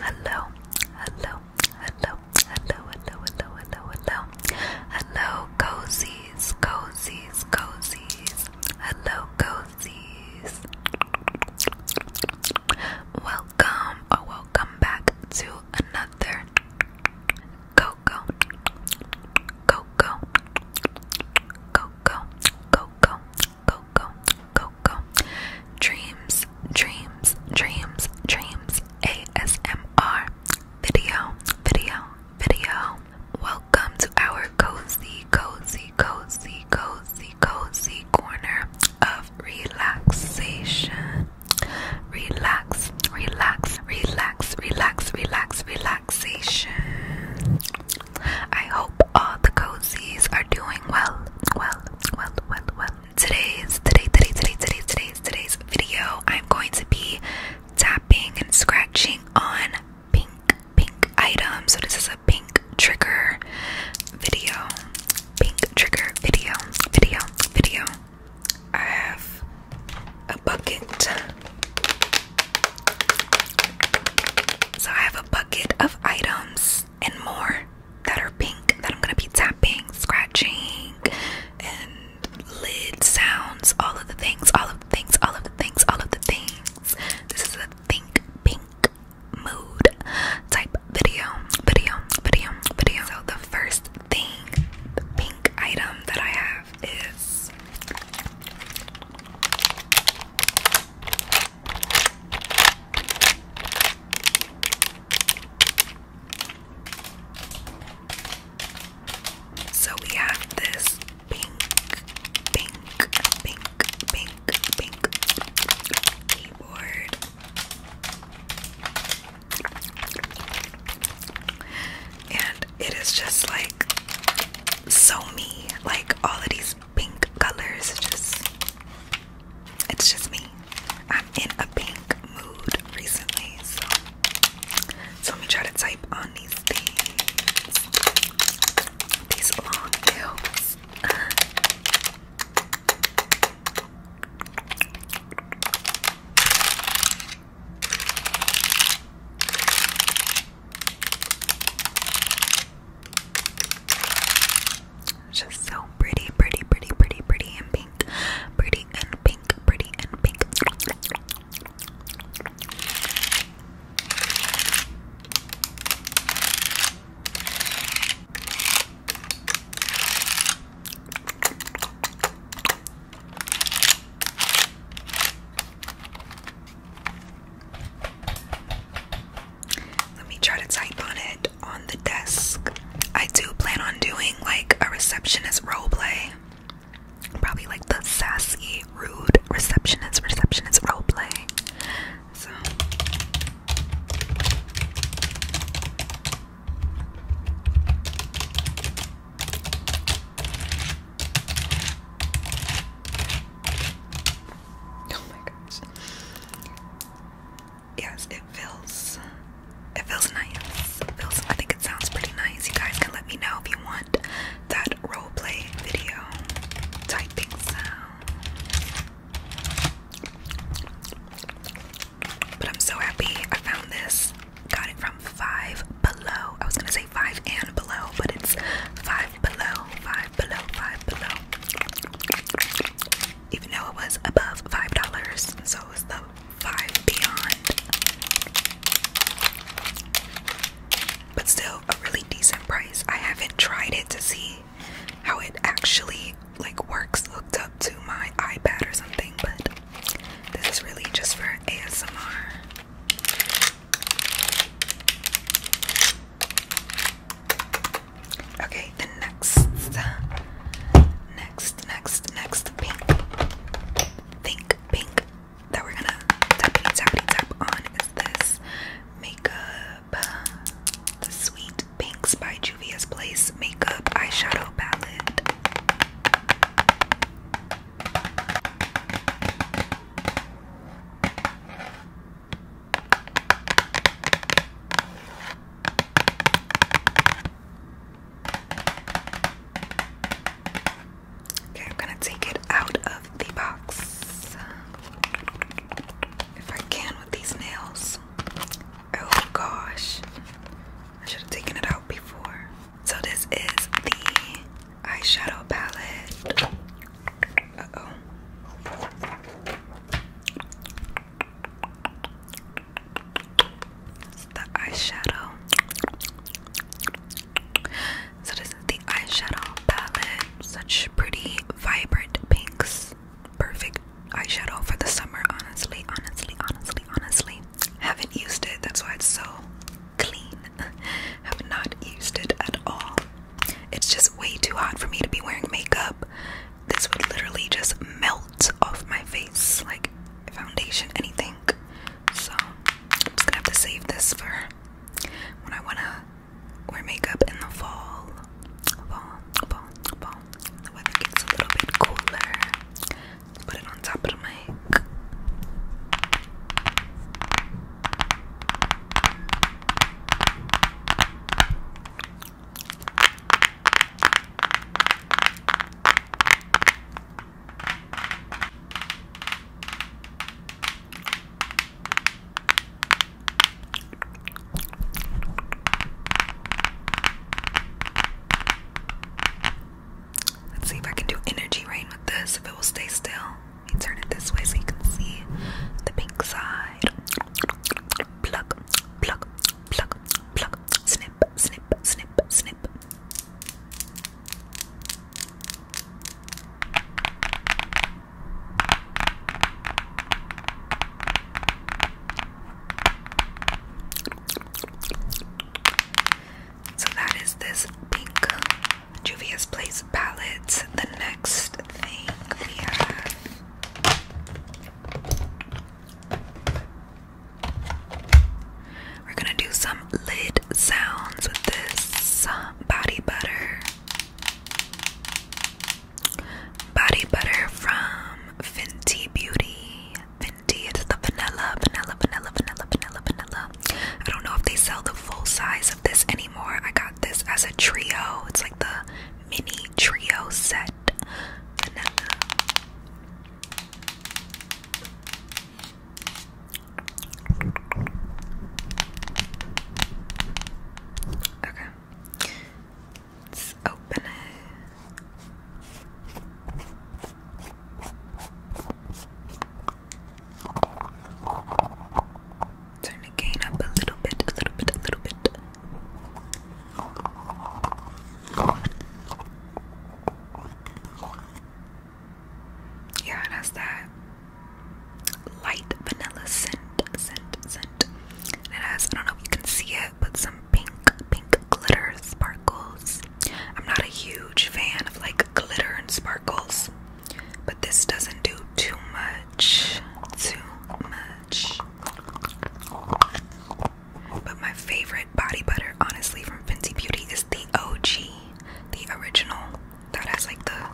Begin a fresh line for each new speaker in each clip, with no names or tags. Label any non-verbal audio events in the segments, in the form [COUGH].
Hello, hello, hello, hello, hello, hello, hello, hello, cozies, cozies, cozies, hello, cozies. Welcome or welcome back to another. Go Coco, Coco, Coco, Coco, Coco, Coco. Dreams, dreams, dreams, dreams. ASMR. Video, video, video. Welcome to our cozy, cozy, cozy, cozy, cozy corner of relaxation. Relax, relax, relax, relax, relax, relaxation. I hope all the cozies are doing well, well, well, well, well. Today's, today, today, today's, today's, today's video, I'm going to be tapping and scratching on pink, pink items. So this is a pink trigger video, pink trigger video, video, video. I have a bucket. So I have a bucket of items and more that are pink that I'm gonna be tapping, scratching, and lid sounds, all of the things, all of the things, all of the things, all of the things. This is a pink, pink mood type video, video, video, video. So the first thing, the pink item that I have is so we have this pink, pink, pink, pink, pink keyboard. And it is just like so me. Like all of these pink colors, just it's just me. I'm in a pink mood recently, so so let me try to type on these things. These long nails. It's just so pretty, pretty, pretty, pretty, pretty and pink. Pretty and pink, pretty and pink. Let me try to type on it on the desk. I do plan on doing like a receptionist roleplay, Probably like the sassy, rude receptionist, receptionist role Oh my gosh. Yes, it feels it feels nice. It feels I think it sounds pretty nice. You guys can let me know if you want that role play video typing sound. But I'm so happy I found this got it from Five Below. I was gonna say Five and Below, but it's Five Below, Five Below, Five Below. Even though it was above five dollars, so it the Five Beyond. But still, a really decent price. I haven't tried it to see how it actually like works hooked up to my iPad or something, but this is really just for ASMR. Okay, the next, next, next, next pink, pink, pink that we're gonna tappity tappity tap on is this makeup, Sweet Pinks by Juvia's Place Makeup Eyeshadow Palette. Okay, I'm gonna take it out of the box if I can with these nails. Oh gosh, I should have taken it out before. So this is the eyeshadow palette. oh. the eyeshadow. So this is the eyeshadow palette. Such pretty, vibrant pinks. Perfect eyeshadow for the summer, honestly, honestly, honestly, honestly haven't used it, that's why it's so clean. [LAUGHS] Have not used it at all. It's just way too hot for me to be wearing makeup. This would literally just melt off my face, like foundation, anything. So I'm just gonna have to save this for when I wanna wear makeup in the fall. Fall, fall, fall. The weather gets a little bit cooler put it on top of the mic. Let's see if I can do energy rain with this, if it will stay still. Let me turn it this way so you can see the pink side. Pluck, pluck, pluck, pluck, snip, snip, snip, snip. So that is this pink Juvia's Place palette. The next thing we have we're gonna do some lid sounds with this uh, body butter. Body butter from Fenty Beauty the vanilla, vanilla, vanilla, vanilla, vanilla, vanilla. I don't know if they sell the full size of this anymore. I got this as a trio. It's like the mini trio set. Okay. Let's open it. Turn the gain up a little bit, a little bit, a little bit. Yeah, that's that light vanilla scent, scent, scent. it has, I don't know you can see it, but some pink, pink glitter sparkles. I'm not a huge fan of like glitter and sparkles, but this doesn't do too much. Too much. But my favorite body butter, honestly, from Fenty Beauty is the OG, the original. That has like the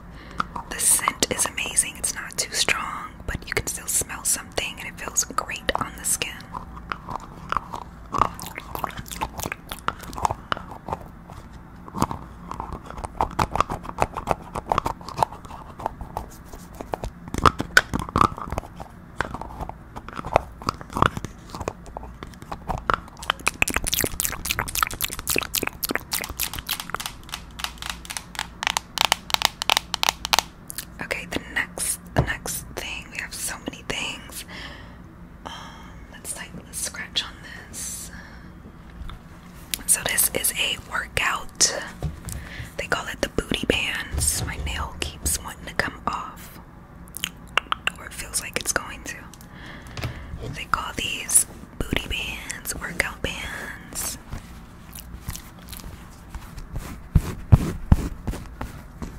the scent is amazing. It's not too strong, but you can still smell something and it feels great on the skin. Okay, the next the next thing, we have so many things. Um, let's like let's scratch on this. So this is a workout. They call it the booty bands. My nail keeps wanting to come off, or it feels like it's going to. They call these booty bands, workout bands.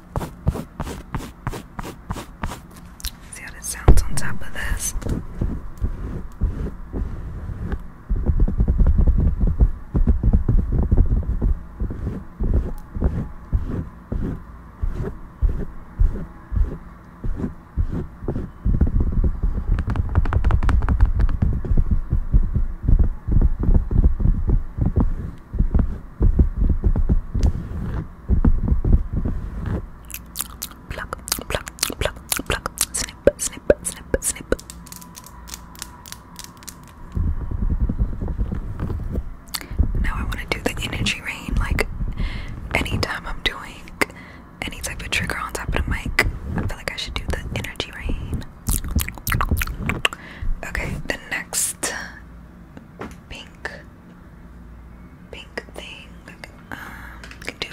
See how it sounds on top of this. Pluck, pluck, pluck, pluck, snip, snip, snip, snip. Now I want to do the energy rain like anytime I'm doing any type of trigger on top of the mic. I feel like I should do the energy rain. Okay, the next pink pink thing. Um, do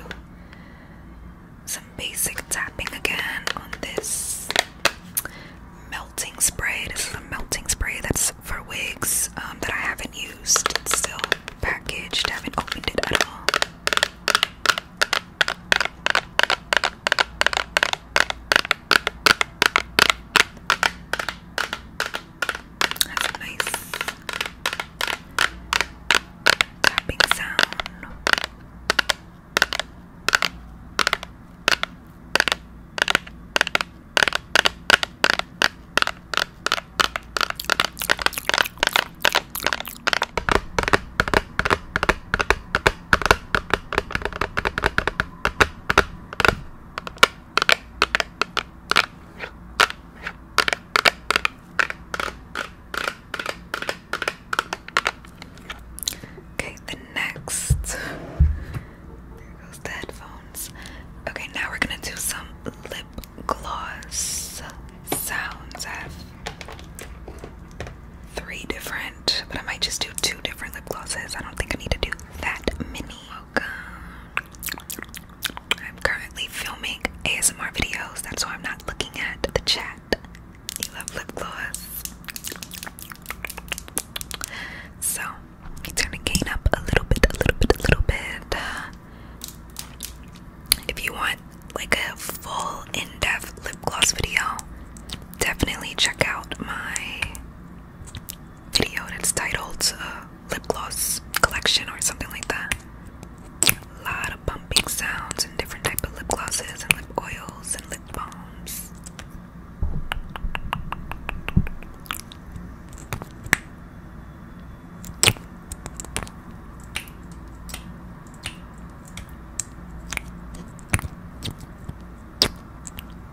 some basic tapping again on this melting spray. This is a melting spray that's for wigs um, that I haven't used. It's still packaged, haven't opened it at all. That's a nice tapping sound. Okay, the next. There goes the headphones. Okay, now we're gonna do some lip gloss sounds. have three different, but I might just do two different lip glosses. I don't think I need to do that many. Okay. I'm currently filming ASMR videos, that's why I'm not looking at the chat. You love lip gloss. So, it's gonna gain up a little bit, a little bit, a little bit. If you want like a full in-depth lip gloss video, definitely check out my video that's titled uh, Lip Gloss Collection or something like that. lot of bumping sounds and different type of lip glosses and lip oils and lip balms.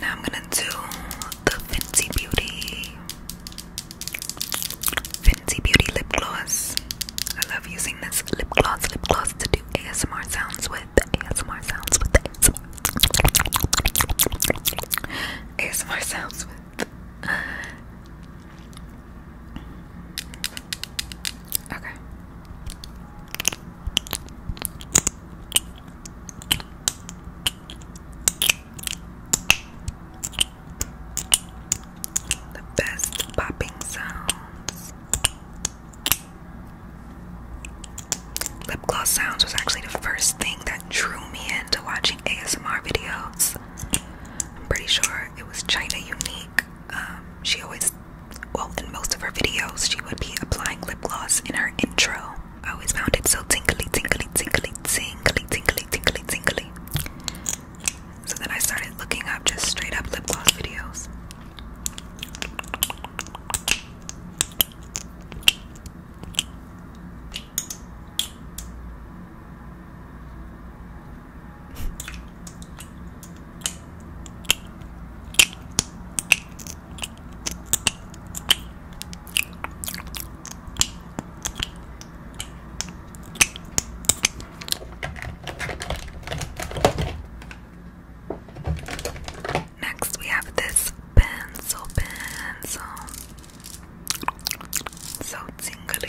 Now I'm gonna do the Fenty Beauty Fenty Beauty lip gloss. I love using this lip gloss, lip gloss to do ASMR sounds with. ASMR sounds with ASMR. ASMR sounds with. Okay. The best popping sounds. Lip gloss sounds was actually the first thing that drew me into watching ASMR videos. I'm pretty sure it was China Unique. Um, she always, well, in most of her videos, she would be applying lip gloss in her intro. I always found it so tingly, tingly, tingly, tingly, tingly, tingly, tingly. So then I started looking up just straight up lip gloss videos. Next, we have this pencil pencil. So tingly.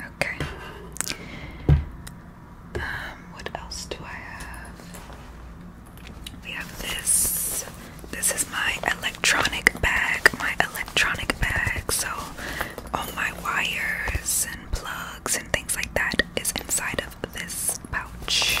Okay. Um, what else do I have? We have this. This is my electronic bag, my electronic bag. So all my wires and plugs and things like that is inside of this pouch.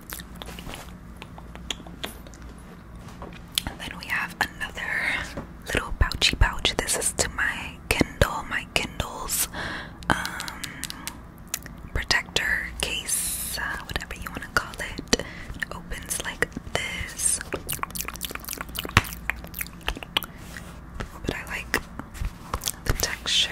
And then we have another little pouchy pouch. This is to my Kindle, my Kindle's um, protector case, uh, whatever you want to call it. It opens like this. But I like the texture.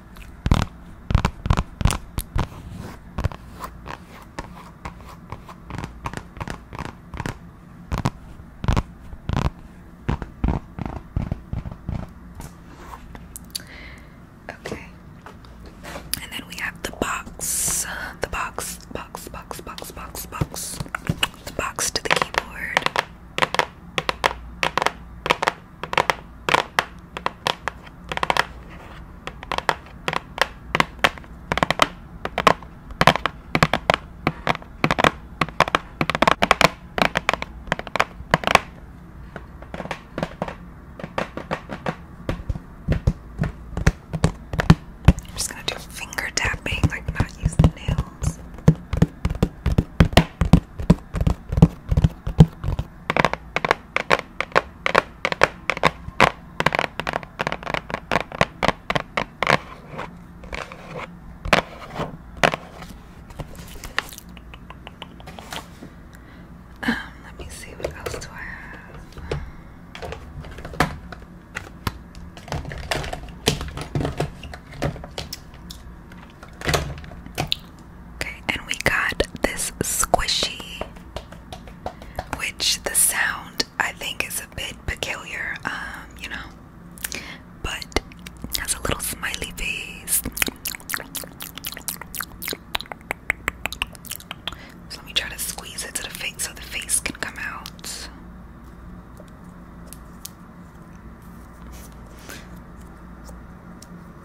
Okay. And then we have the box. The box, box, box, box, box, The box to the keyboard. I'm just going to do finger tapping, like not use the nails. Um, let me see what else do I have. Okay, and we got this squishy, which the sound I think is a bit peculiar, um, you know, but has a little smiley face. So let me try to squeeze it to the face so the face can come out.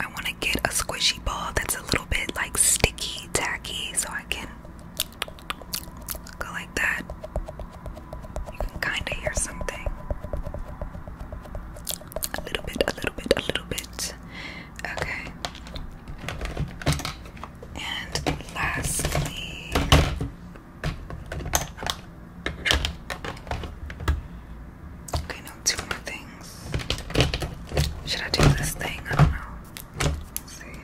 I want to get a squishy ball that's a little bit like sticky, tacky, so I can go like that. You can kind of hear something. A little bit, a little bit, a little bit. Okay. And lastly, okay, no, two more things. Should I do this thing? I don't know. see.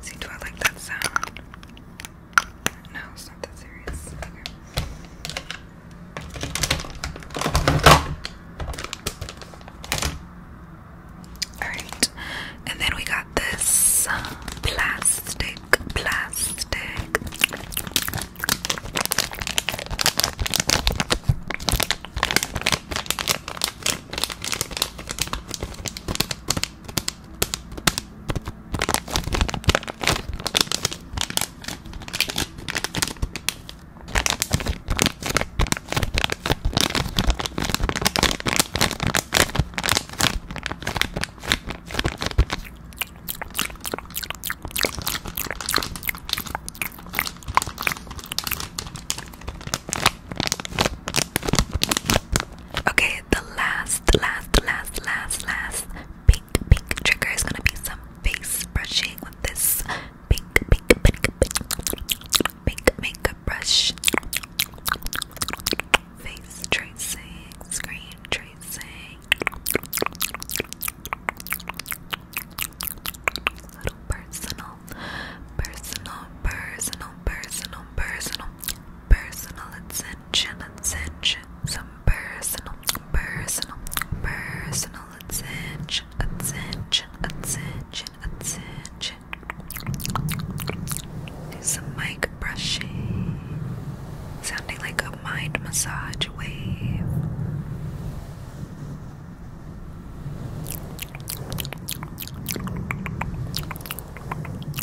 see, do I like that sound? No, it's not that serious. Okay. Alright. And then we got this um, plastic, plastic. Okay, the last, last, last, last, last pink, pink trigger is gonna be some face brushing with this pink, pink, pink, pink, pink makeup brush. Face tracing, screen tracing. Little personal, personal, personal, personal, personal, personal attention, attention. Some personal, personal, personal attention, attention, attention, attention. Do some mic brushing, sounding like a mind massage wave.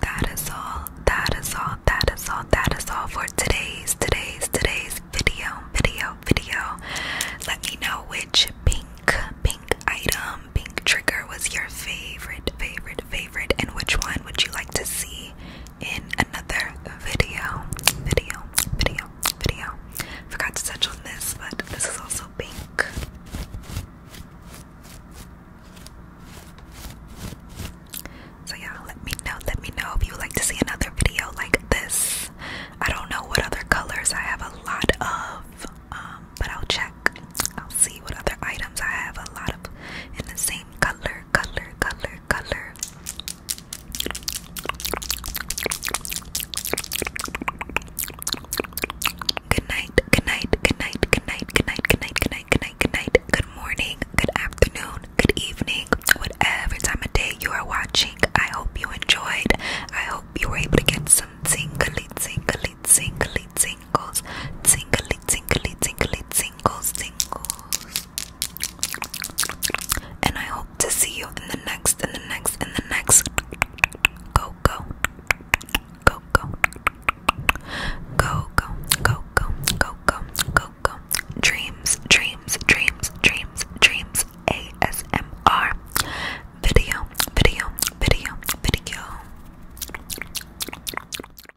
That is all, that is all, that is all, that is all for today's, today's, today's video, video, video. Let me know which pink, pink item, pink trigger was your favorite, favorite, favorite, and which one would you like to see in another video. Video, video, video. Forgot to touch on this, but this is also pink. So yeah, let me know. Let me know if you would like to see another video like this. I don't know what other colors I have a lot of, um, but I'll check. I'll see what other items I have a lot of in the same color, color, color, color. Good night, good night, good night, good night, good night, good night, good night, good night, good night. Good morning, good afternoon, good evening, whatever time of day you are watching. I hope you enjoyed. I hope you were able to get some tingly, tingly, tingly, tingles, tingly, tingly, tingly, tingly, Go, singles. And I hope to see you in the next, in the next, in the next. Go, go, go, go, go, go, go, go, go, go, go, go. Dreams, dreams, dreams, dreams, dreams. ASMR video, video, video, video.